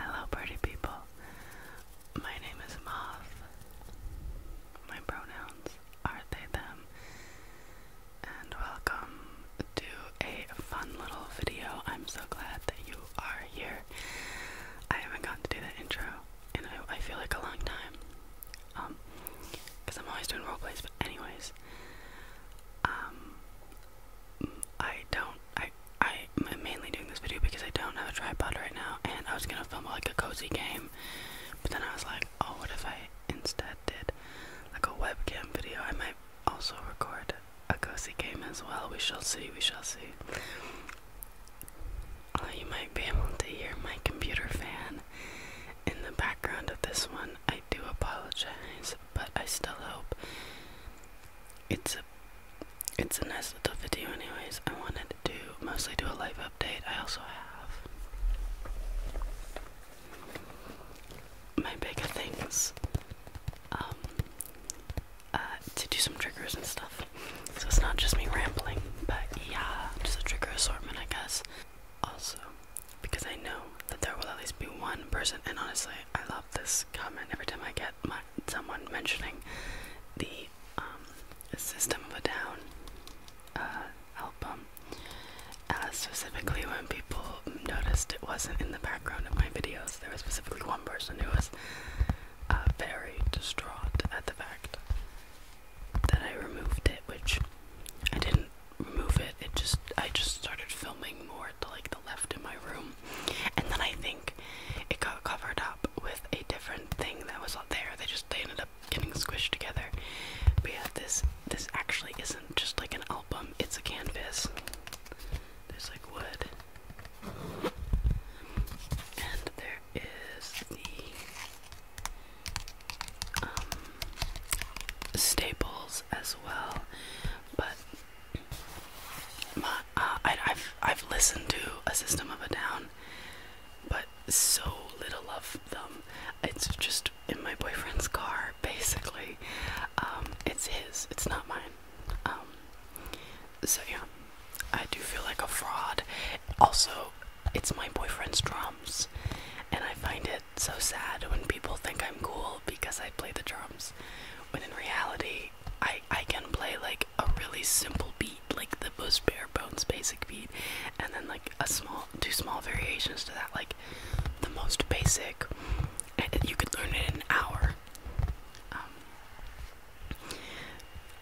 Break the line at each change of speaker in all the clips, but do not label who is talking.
Hello, party people. My name is Moth. My pronouns are they, them. And welcome to a fun little video. I'm so glad that you are here. I haven't gotten to do that intro and I, feel like a long time. Um, because I'm always doing role plays, but anyways. Um, I don't. I I'm mainly doing this video because I don't have a tripod right now, and I was gonna film like a cozy game, but then I was like, oh, what if I instead did like a webcam video? I might also record a cozy game as well. We shall see. We shall see. Uh, you might be able to hear my computer fan in the background of this one. I do apologize, but I still hope it's a it's a nice little video anyways. I wanted to mostly do a live update. I also have my bigger things um, uh, to do some triggers and stuff. So it's not just me rambling, but yeah, just a trigger assortment I guess. Also, because I know that there will at least be one person. And honestly, I love this comment every time I get someone mentioning the um, System of a Down uh, album, uh, specifically when people noticed it wasn't in the background of my videos. There was specifically one person who was uh, very distraught at the fact that I removed it, which I didn't move it. It just I just started filming more to like the left in my room, and then I think it got covered up with a different thing that was not there. They just they ended up getting squished together. But yeah, this this actually isn't just like an album. It's a canvas. There's like wood. And there is the um, staples as well, but my, uh, I, have I've listened to a System of a Down, but so little of them. It's just in my boyfriend's car, basically. Um, it's his. It's not mine. Um, so yeah, I do feel like a fraud. Also, it's my boyfriend's drums, and I find it so sad when people think I'm cool because I play the drums, when in reality, I I can play like a really simple beat, like the most bare bones basic beat, and then like a small, two small variations to that, like the most basic. And you could learn it in an hour. Um,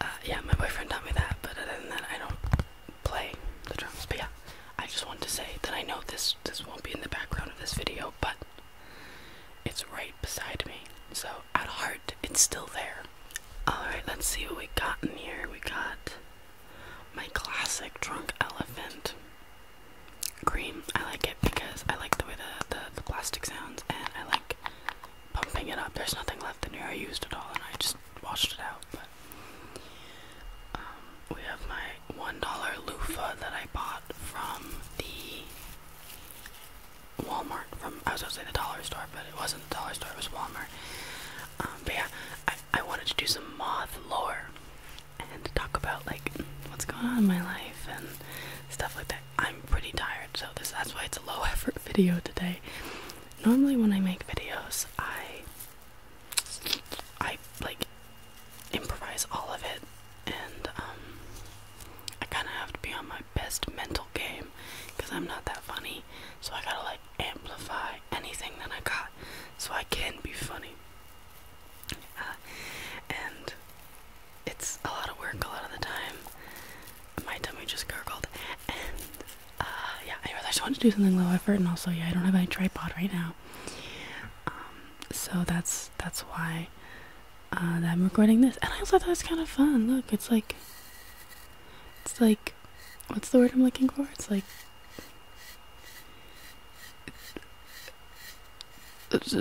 uh, yeah, my boyfriend taught me that, but other than that, I don't play the drums. But yeah, I just wanted to say that I know this this won't be in the background of this video, but it's right beside me. So at heart, it's still there. Alright, let's see what we got in here. We got my classic drunk elephant cream. I like it because I like the way the, the, plastic sounds and I like pumping it up. There's nothing left in here. I used it all and I just washed it out. But um, we have my one dollar loofah that I bought from the Walmart. From I was gonna say the dollar store, but it wasn't the dollar store. It was Walmart. Um, but yeah, I I wanted to do some moth lore and talk about like what's going on in my life and stuff like that. I'm pretty tired, so this that's why it's a low effort video today. Normally when I make videos, I I like improvise all of it, and um, I kind of have to be on my best mental game because I'm not that funny. So I gotta like amplify anything that I got so I can be funny. Uh, and it's a lot of work a lot of the time. My tummy just gurgled. And uh, yeah, anyways, I just wanted to do something low effort, and also, yeah, I don't have my tripod right now. Um, so that's that's why uh, I'm recording this. And I also thought it was kind of fun. Look, it's like it's like what's the word I'm looking for? It's like it's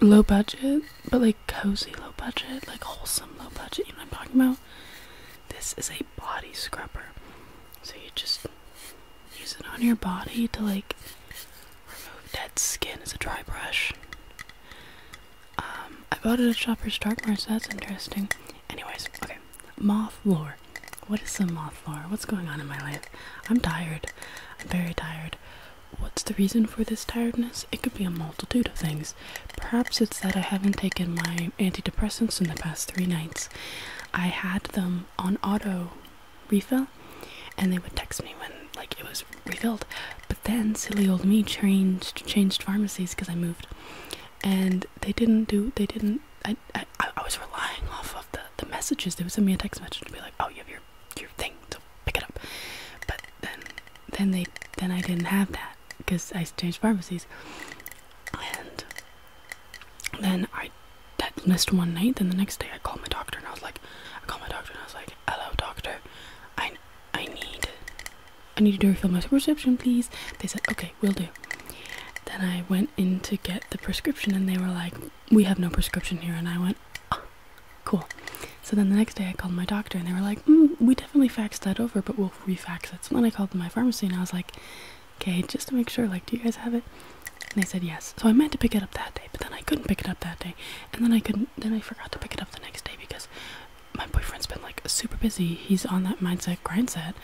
low budget, but like cozy low budget, like wholesome low budget. You know what I'm talking about? This is a body scrubber, so you just Use it on your body to like remove dead skin as a dry brush. Um, I bought it at Shoppers Drug Mart, so that's interesting. Anyways, okay. Moth lore. What is some moth lore? What's going on in my life? I'm tired. I'm very tired. What's the reason for this tiredness? It could be a multitude of things. Perhaps it's that I haven't taken my antidepressants in the past three nights. I had them on auto refill, and they would text me when like it was refilled. But then silly old me changed changed pharmacies because I moved, and they didn't do they didn't. I, I I was relying off of the the messages. They would send me a text message to be like, oh, you have your your thing, so pick it up. But then then they then I didn't have that because I changed pharmacies, and then I that missed one night. Then the next day, I called my doctor and I was like, I called my doctor and I was like, hello, doctor, I I need I need to refill my prescription, please. They said, okay, we'll do. Then I went in to get the prescription and they were like, we have no prescription here. And I went, oh, cool. So then the next day I called my doctor and they were like, mm, we definitely faxed that over, but we'll refax it. So then I called my pharmacy and I was like, okay, just to make sure, like, do you guys have it? And they said yes. So I meant to pick it up that day, but then I couldn't pick it up that day. And then I couldn't then I forgot to pick it up the next day because my boyfriend's been like super busy. He's on that mindset grind set.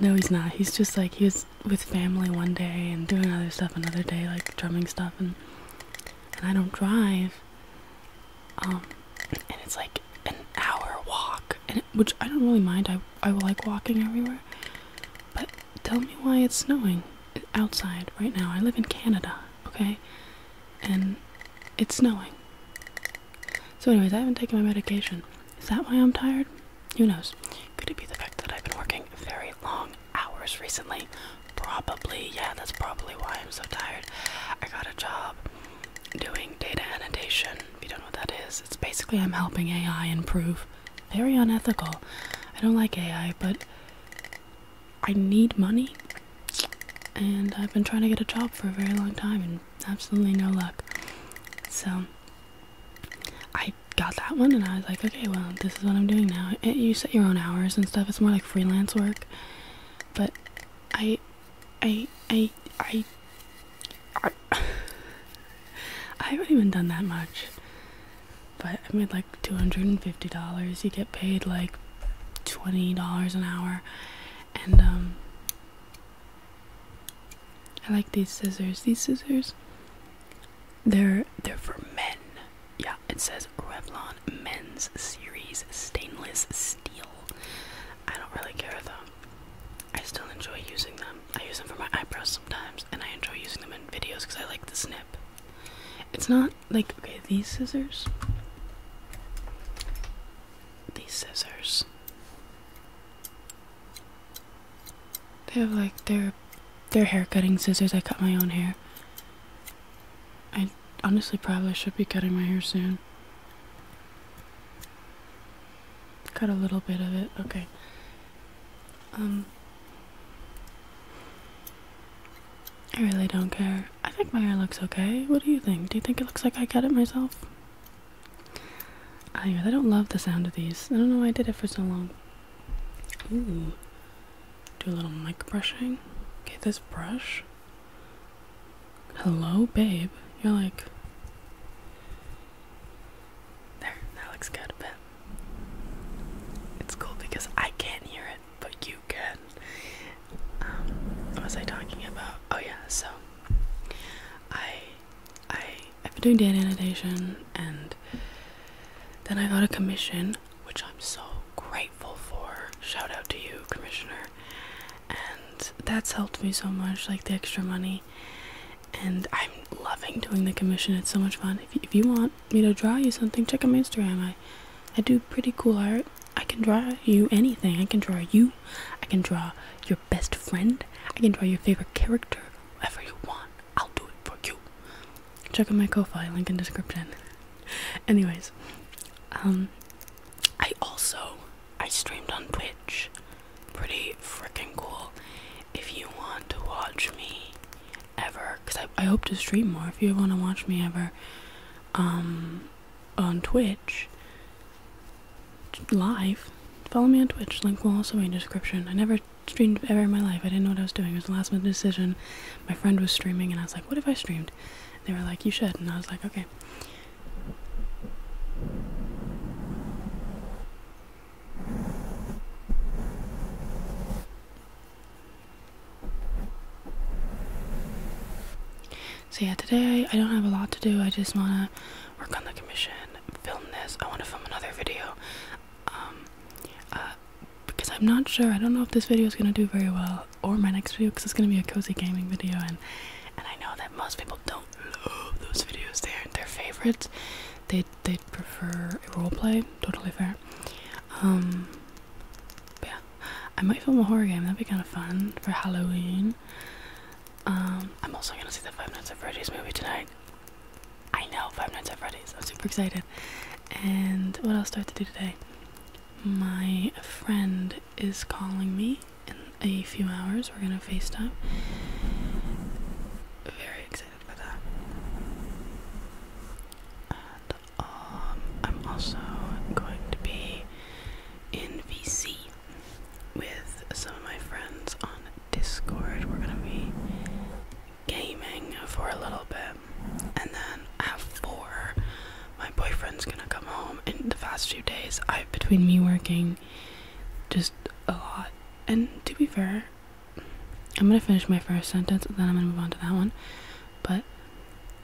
No, he's not. He's just like he was with family one day and doing other stuff another day, like drumming stuff and and I don't drive. Um and it's like an hour walk. And which I don't really mind. I I like walking everywhere. But tell me why it's snowing outside right now. I live in Canada, okay? And it's snowing. So, anyways, I haven't taken my medication. Is that why I'm tired? Who knows? Could it be the fact that I've been working very long hours recently? Probably, yeah, that's probably why I'm so tired. I got a job doing data annotation. If you don't know what that is, it's basically I'm helping AI improve very unethical. I don't like AI, but I need money. And I've been trying to get a job for a very long time and absolutely no luck. So I got that one and I was like, okay, well, this is what I'm doing now. Eh, you set your own hours and stuff. It's more like freelance work. But I I I I, I haven't even done that much. But I made like $250. You get paid like $20 an hour. And um, I like these scissors. These scissors they're they're for men. Yeah, it says Revlon Men's Series Stainless Steel. I don't really care though. I still enjoy using them. I use them for my eyebrows sometimes, and I enjoy using them in videos because I like the snip. It's not like okay, these scissors. These scissors. They have like their their hair cutting scissors. I cut my own hair. I honestly probably should be cutting my hair soon. Cut a little bit of it. Okay. Um, I really don't care. I think my hair looks okay. What do you think? Do you think it looks like I cut it myself? I don't love the sound of these. I don't know why I did it for so long. Ooh. Do a little mic brushing. Get this brush. Hello, babe. You're like. There, that looks good, but it's cool because I can't hear it, but you can. what um, was I talking about? Oh yeah, so I I I've been doing data annotation and then I got a commission, which I'm so grateful for. Shout out to you, commissioner. And that's helped me so much, like the extra money. And I'm loving doing the commission. It's so much fun. if you want, me to draw you something, check out my Instagram. I I do pretty cool art. I can draw you anything. I can draw you. I can draw your best friend. I can draw your favorite character. Whatever you want, I'll do it for you. Check out my Co file link in description. Anyways, um, I also I streamed on Twitch. Pretty freaking cool if you want to watch me ever, because I, I hope to stream more, if you want to watch me ever um, on Twitch live, follow me on Twitch. Link will also be in description. I never streamed ever in my life. I didn't know what I was doing. It was the last minute decision. My friend was streaming, and I was like, "What if I streamed?" They were like, "You should," and I was like, "Okay." So yeah, today I don't have a lot to do. I just wanna work on the commission, film this. I wanna film another video. Um, uh, because I'm not sure. I don't know if this video is gonna do very well or my next video because it's gonna be a cozy gaming video and and I know that most people don't love those videos. They aren't their favorites. They they'd prefer a role play. Totally fair. Um, yeah, I might film a horror game. That'd be kind of fun for Halloween. Um, I'm also gonna see the Five Nights at Freddy's movie tonight. I know Five Nights at Freddy's. I'm super excited. And what else do I have to do today? My friend is calling me in a few hours. We're gonna FaceTime. Very excited for that. And um, I'm also going to be in VC with some of my friends on Discord. We're gonna be gaming for a little bit, and then at four, my boyfriend's gonna come home. In the past few days, I've between me working just a lot, and to be fair, I'm gonna finish my first sentence and then I'm gonna move on to that one. But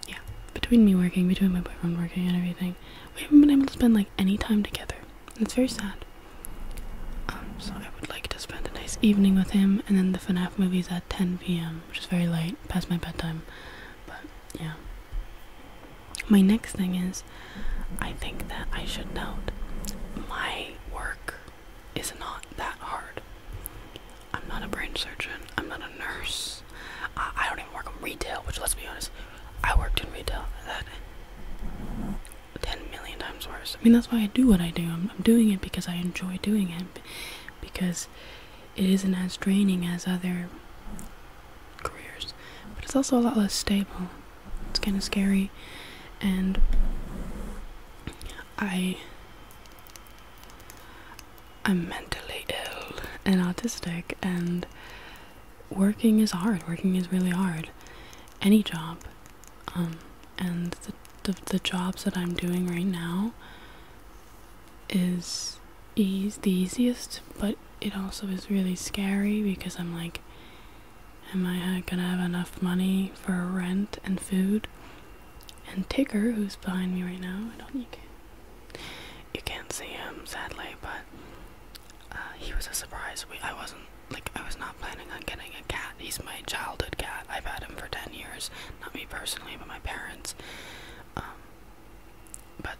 yeah, between me working, between my boyfriend working and everything, we haven't been able to spend like any time together. It's very sad. Um, so I would like to spend a nice evening with him and then the FNAF movie's at 10 p.m., which is very late, past my bedtime. But yeah. My next thing is I think that I should note my work is not that hard. I'm not a brain surgeon. I'm not a nurse. I, don't even work in retail, which let's be honest, I worked in retail. That ten million times worse. I mean, that's why I do what I do. I'm doing it because I enjoy doing it, because it isn't as draining as other careers, but it's also a lot less stable. It's kind of scary, and I I'm mentally ill and autistic, and working is hard. Working is really hard. Any job. Um, and the, the, jobs that I'm doing right now is ease, the easiest, but it also is really scary because I'm like, am I uh, gonna have enough money for rent and food? And Tigger, who's behind me right now, I don't think you can't see him sadly, but uh, he was a surprise. I wasn't like I was not planning on getting a cat. He's my childhood cat. I've had him for ten years. Not me personally, but my parents. Um, but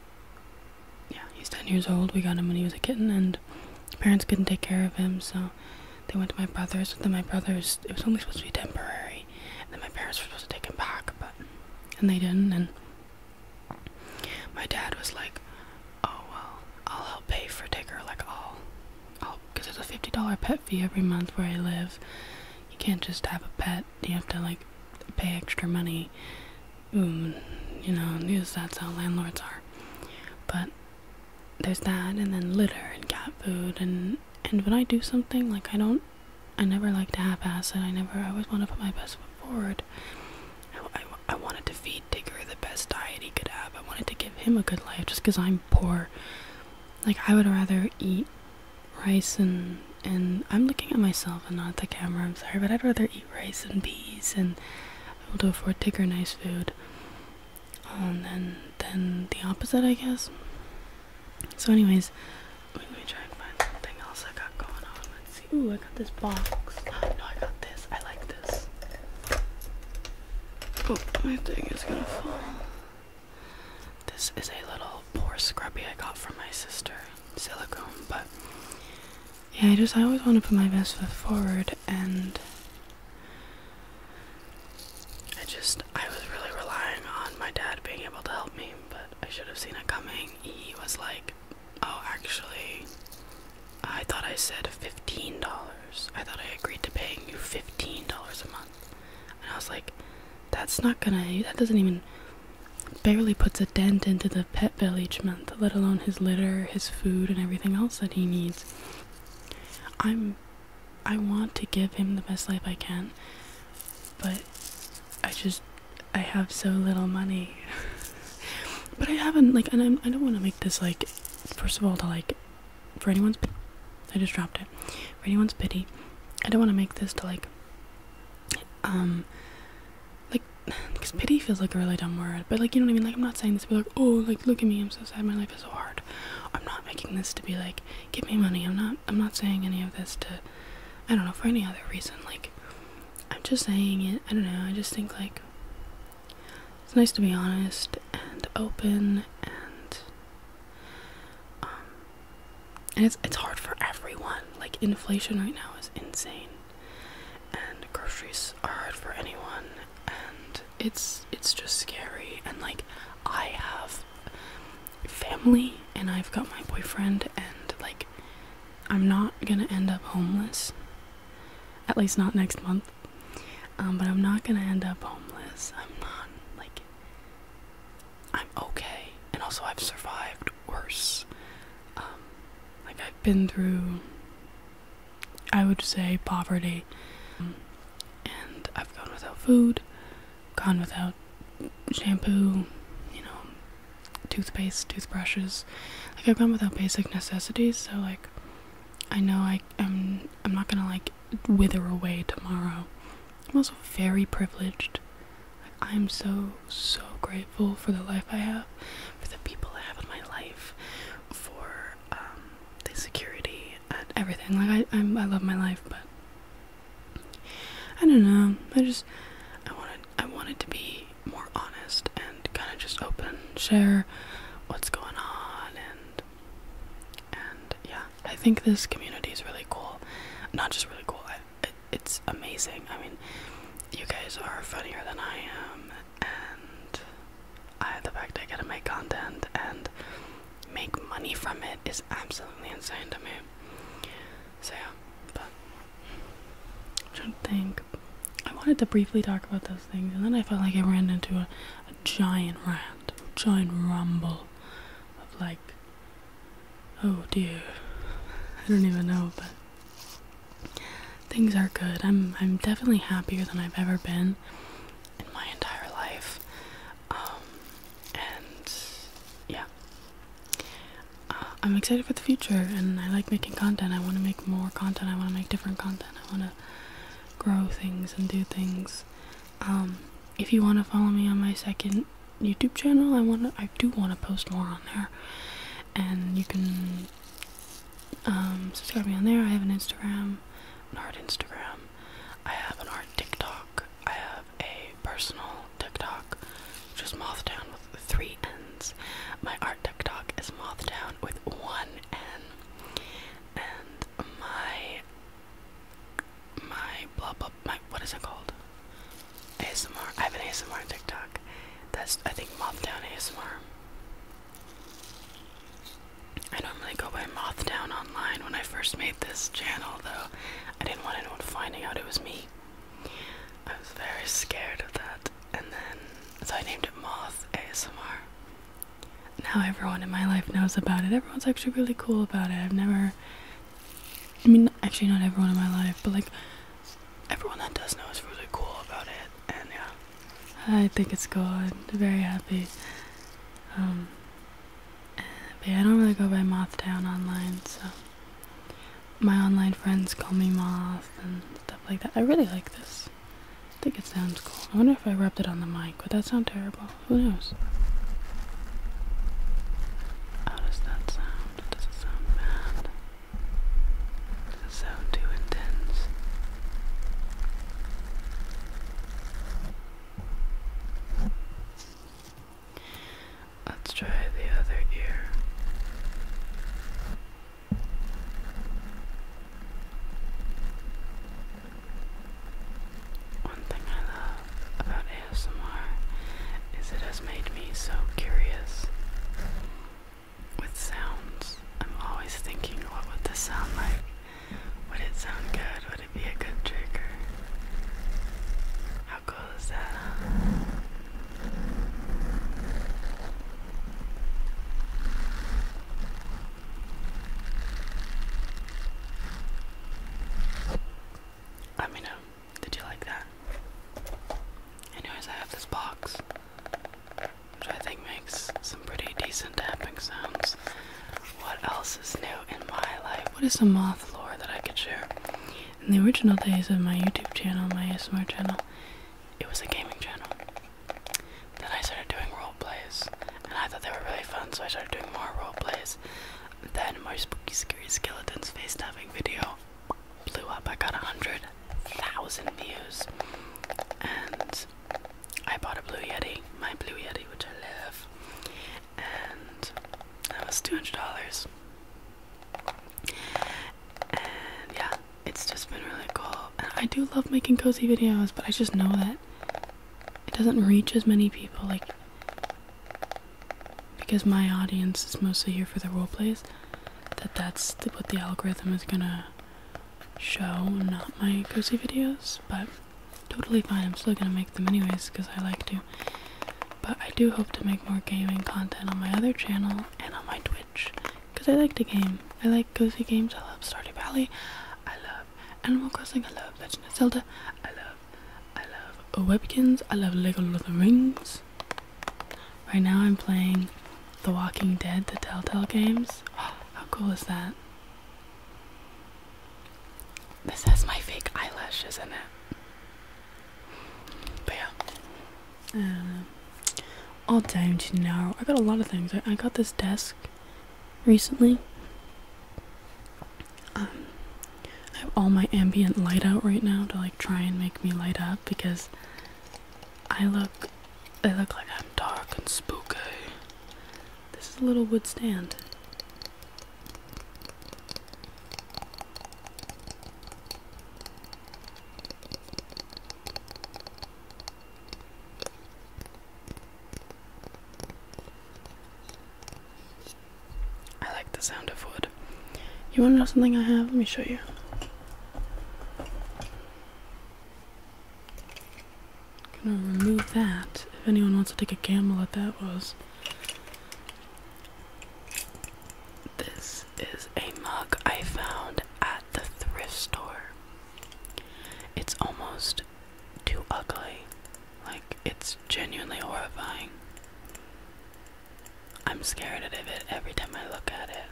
yeah, he's ten years old. We got him when he was a kitten, and parents couldn't take care of him, so they went to my brother's, and then my brother's, it was only supposed to be temporary, and then my parents were supposed to take him back, but, and they didn't, and my dad was like, oh, well, I'll help pay for Digger, like, I'll, I'll, because there's a $50 pet fee every month where I live, you can't just have a pet, you have to, like, pay extra money, Ooh, mm, you know, that's how landlords are, but there's that and then litter and cat food and and when I do something like I don't I never like to half-ass it I never I always want to put my best foot forward I, I, wanted to feed Digger the best diet he could have I wanted to give him a good life just because I'm poor like I would rather eat rice and and I'm looking at myself and not the camera I'm sorry but I'd rather eat rice and peas and I able to afford Digger nice food Oh, and then the opposite, I guess. So, anyways, let me try and find something else I got going on. Let's see. Oh, I got this box. No, I got this. I like this. Oh, my thing is gonna fall. This is a little pore scrubby I got from my sister, silicone. But yeah, I just I always want to put my best foot forward and. I just, I was really relying on my dad being able to help me, but I should have seen it coming. He was like, oh, actually, I thought I said $15. I thought I agreed to paying you $15 a month. And I was like, that's not gonna, that doesn't even, barely puts a dent into the pet bill each month, let alone his litter, his food, and everything else that he needs. I'm I want to give him the best life I can, but I just I have so little money. but I haven't like, and I'm, I don't want to make this like, first of all, to like, for anyone's, I just dropped it, for anyone's pity. I don't want to make this to like, um, like, because pity feels like a really dumb word, but like you know what I mean. Like I'm not saying this to be like, oh, like look at me, I'm so sad, my life is so hard. I'm not making this to be like, give me money. I'm not I'm not saying any of this to I don't know for any other reason. Like I'm just saying it. I don't know. I just think like it's nice to be honest and open and um and it's it's hard for everyone. Like inflation right now is insane. And groceries are hard for anyone and it's it's just scary and like I have family and I've got my boyfriend and like I'm not gonna end up homeless. At least not next month. Um, but I'm not gonna end up homeless. I'm not like I'm okay. And also I've survived worse. Um, like I've been through I would say poverty. Um, and I've gone without food gone without shampoo, you know, toothpaste, toothbrushes. Like I've gone without basic necessities, so like I know I am I'm not gonna like wither away tomorrow. I'm also very privileged. I'm so so grateful for the life I have, for the people I have in my life, for um, the security and everything. Like I I'm, I love my life, but I don't know. I just I wanted I wanted to be more honest and kind of just open, share what's going on and and yeah, I think this community is really cool. Not just really cool. it's amazing. I mean, you guys are funnier than I am and I the fact I get to make content and make money from it is absolutely insane to me. So yeah, but I'm trying to think. I wanted to briefly talk about those things, and then I felt like I ran into a, giant rant, a giant rumble of like, oh dear, I don't even know, but things are good. I'm I'm definitely happier than I've ever been in my entire life. Um, and yeah uh, i'm excited for the future and i like making content i want to make more content i want to make different content i want to grow things and do things um, if you want to follow me on my second youtube channel i want to i do want to post more on there and you can um, subscribe me on there i have an instagram an instagram I have an art TikTok. I have a personal TikTok, which is Mothdown with three ends. My art TikTok is Mothdown with one end. And my my blah blah my what is it called? ASMR. I have an ASMR TikTok. That's I think Mothdown ASMR. I normally go by Mothdown online when I first made this channel though. I didn't want anyone finding out it was me. I was very scared of that, and then so I named it Moth ASMR. Now everyone in my life knows about it. Everyone's actually really cool about it. I've never, I mean, actually not everyone in my life, but like everyone that does know is really cool about it, and yeah, I think it's cool. I'm very happy. Um, but I don't really go by Mothtown online, so my online friends call me Moth and stuff like that. I really like this. I think it sounds cool. I wonder if I rubbed it on the mic. Would that sound terrible? Who knows? How does that sound? Does it sound bad? Does it sound too intense? Let's try the other ear. One thing I love about ASMR is it has made me so curious with sounds. I'm always thinking, what would this sound like? Would it sound good? Would it be a good trigger? How cool is that? Let me know. Did you like that? Anyways, I have this box, which I think makes some pretty decent tapping sounds. What else is new in my life? What is the moth lore that I could share? In the original days of my YouTube channel, my ASMR channel, it was a gaming channel. Then I started doing role plays, and I thought they were really fun, so I started doing more role plays. Then my spooky, scary skeletons face diving video blew up. I got a hundred thousand views, and I bought a Blue Yeti, my Blue Yeti, which I love and that was two hundred dollars. And yeah, it's just been really cool. I do love making cozy videos, but I just know that it doesn't reach as many people, like because my audience is mostly here for the role plays. That that's what the algorithm is gonna show, not my cozy videos, but totally fine. I'm still gonna make them anyways because I like to. But I do hope to make more gaming content on my other channel and on my Twitch because I like the game. I like cozy games. I love Stardew Valley. I love Animal Crossing. I love Legend of Zelda. I love, I love Oh, Webkins. I love Lego Lord of the Rings. Right now I'm playing The Walking Dead, the Telltale games. how cool is that? This has my fake eyelashes in it. But yeah. Um, all time to know. I got a lot of things. I, got this desk recently. Um, I have all my ambient light out right now to like try and make me light up because I look I look like I'm dark and spooky. This is a little wood stand. I like the sound of wood. You want to know something I have? Let me show you. gonna remove that. If anyone wants to take a gamble at that was this is a mug I found at the thrift store. It's almost too ugly. Like, it's genuinely horrifying. I'm scared of it every time I look at it.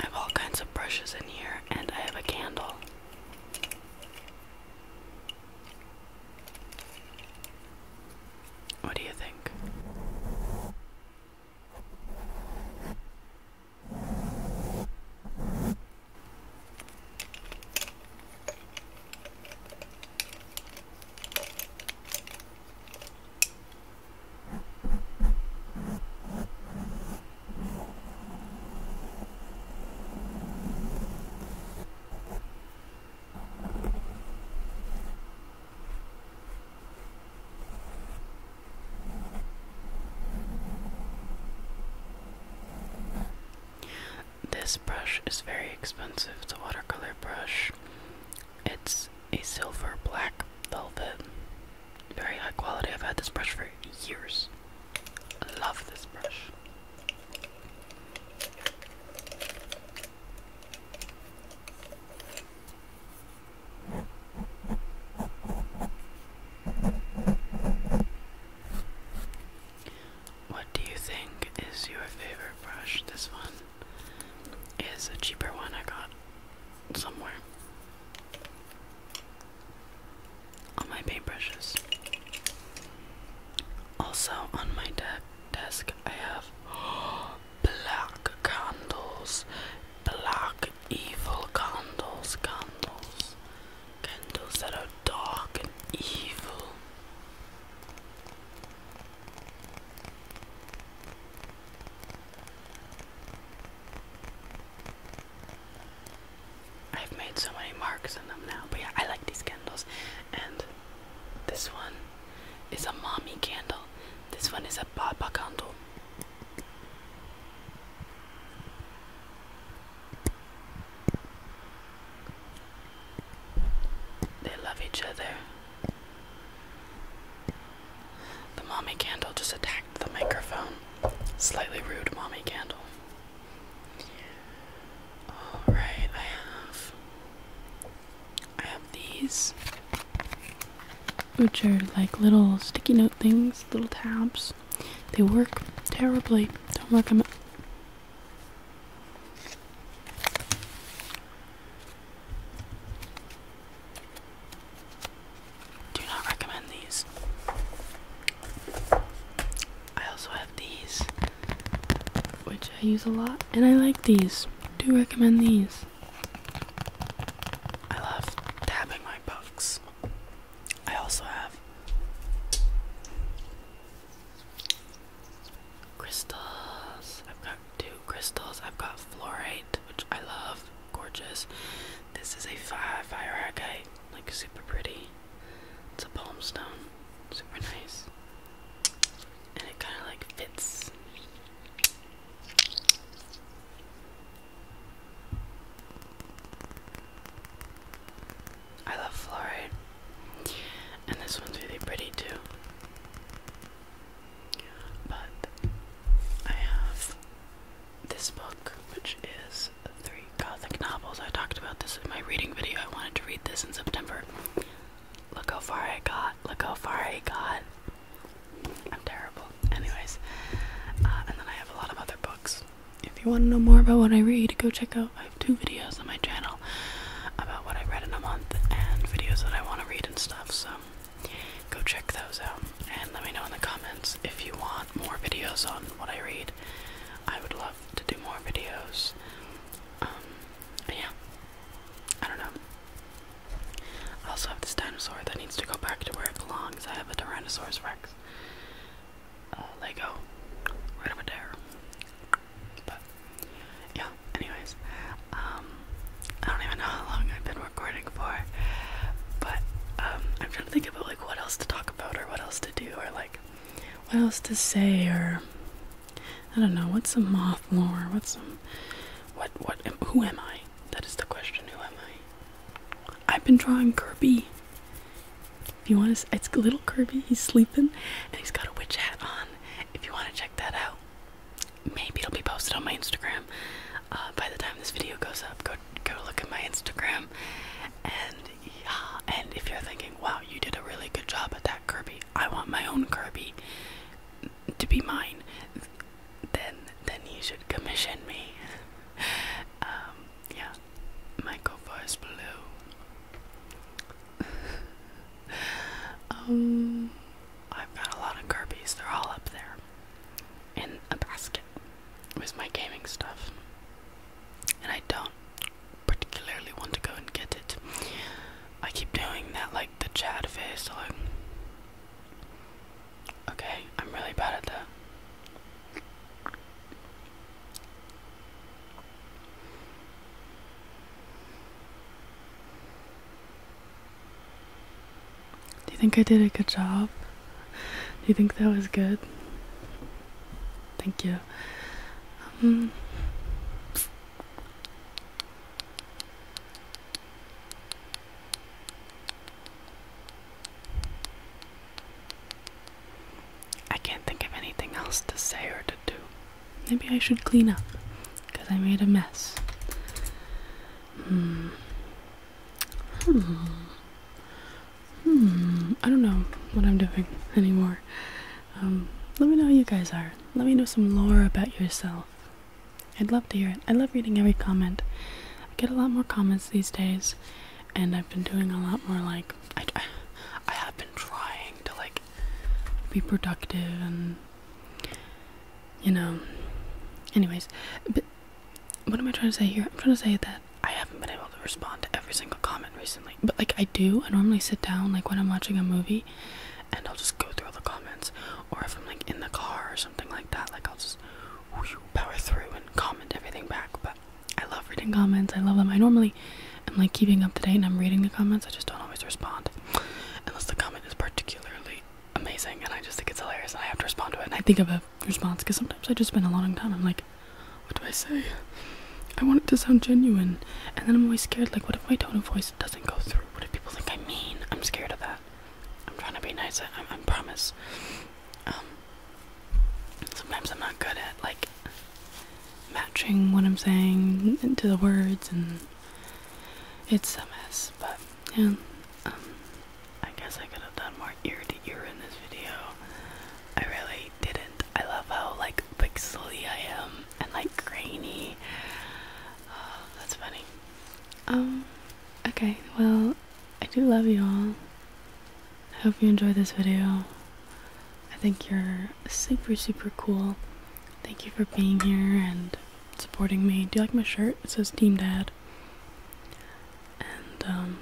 I have all kinds of brushes in here, and I have a candle. What do you think? This brush is very expensive, the watercolor brush. It's a silver black velvet. Very high quality. I've had this brush for years. I love this brush. What do you think is your favorite brush? This one is a cheaper one I got somewhere on my paintbrushes. Also on my desk, I have black candles, black evil candles, candles, candles that are dark and evil. I've made so many marks on them now, but yeah, I like these candles. And this one is a mommy candle, this one is a papa candle. They love each other. The mommy candle just attacked the microphone. Slightly rude, mommy candle. Alright, I have. I have these, which are like little sticky note things, little tabs. They work terribly. Don't work recommend. Do not recommend these. I also have these, which I use a lot, and I like these. Do recommend these. I love tapping my pucks. I also have crystals. I've got two crystals. I've got fluorite, which I love. Gorgeous. This is a five hierarchite, like super pretty. It's a palm stone, super nice, and it kind of like fits. I love fluoride, and this one's really pretty too. But I have this book, which is three Gothic novels. I talked about this in my reading video. I wanted to read this in September. Look how far I got. Look how far I got. I'm terrible. Anyways, uh, and then I have a lot of other books. If you want to know more about what I read, go check out. I have two videos on my channel about what I read in a month and videos that I want to read and stuff. So go check those out and let me know in the comments if you want more videos on what I read. I would love to do more videos. Um, yeah, I don't know. I also have this dinosaur that needs to go back to where it belongs. I have a Tyrannosaurus Rex uh, Lego right over there. But yeah, anyways, um, I don't even know how long I've been recording for. But um, I'm trying to think about like what else to talk about or what else to do or like what else to say or I don't know. What's some moth lore? What's some what what? who am I? That is the question. Who am I? I've been drawing Kirby. If you want to, it's little Kirby. He's sleeping, and he's got a witch hat on. If you want to check that out, maybe it'll be posted on my Instagram. Uh, by the time this video goes up, go go look at my Instagram. And yeah, and if you're thinking, wow, you did a really good job at that Kirby, I want my own Kirby to be mine. Then then you should commission me. um, yeah, my gopher blue. um, I've got a lot of Kirby's. They're all up there in a basket with my gaming stuff. And I don't particularly want to go and get it. I keep doing that like the chat face, so like Okay, I'm really bad at that. Do you think I did a good job? Do you think that was good? Thank you. Um, I can't think of anything else to say or to do. Maybe I should clean up because I made a mess. Hmm. Hmm. Hmm. I don't know what I'm doing anymore. Um, let me know how you guys are. Let me know some lore about yourself. I'd love to hear it. I love reading every comment. I get a lot more comments these days, and I've been doing a lot more like I, I have been trying to like be productive and you know. Anyways, what am I trying to say here? I'm trying to say that I haven't been able to respond to every single comment recently. But like I do, I normally sit down like when I'm watching a movie and I'll just go through all the comments. Or if I'm like in the car or something like that, like I'll just power through and comment everything back. But I love reading comments, I love them. I normally am like keeping up to date and I'm reading the comments, I just don't always respond. Unless the comment is particularly amazing and I just think it's hilarious and I have to respond to it. And I think of a response because sometimes I just spend a long time. I'm like, what do I say? I want it to sound genuine, and then I'm always scared. Like, what if my tone of voice doesn't go through? What if people think I'm mean? I'm scared of that. I'm trying to be nice. I, promise. Um, sometimes I'm not good at like matching what I'm saying into the words, and it's a mess. But yeah, um, I guess I could have done more ear to ear in this video. I really didn't. I love how like pixely I am and like grainy. Oh, that's funny. Um, okay, well, I do love you all. I hope you enjoyed this video. I think you're super, super cool. Thank you for being here and supporting me. Do you like my shirt? It says Team Dad. Um,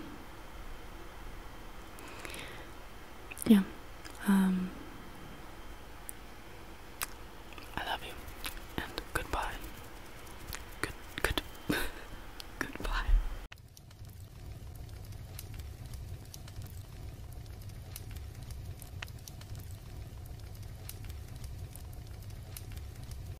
yeah, um, I love you, and goodbye. Good, good, goodbye.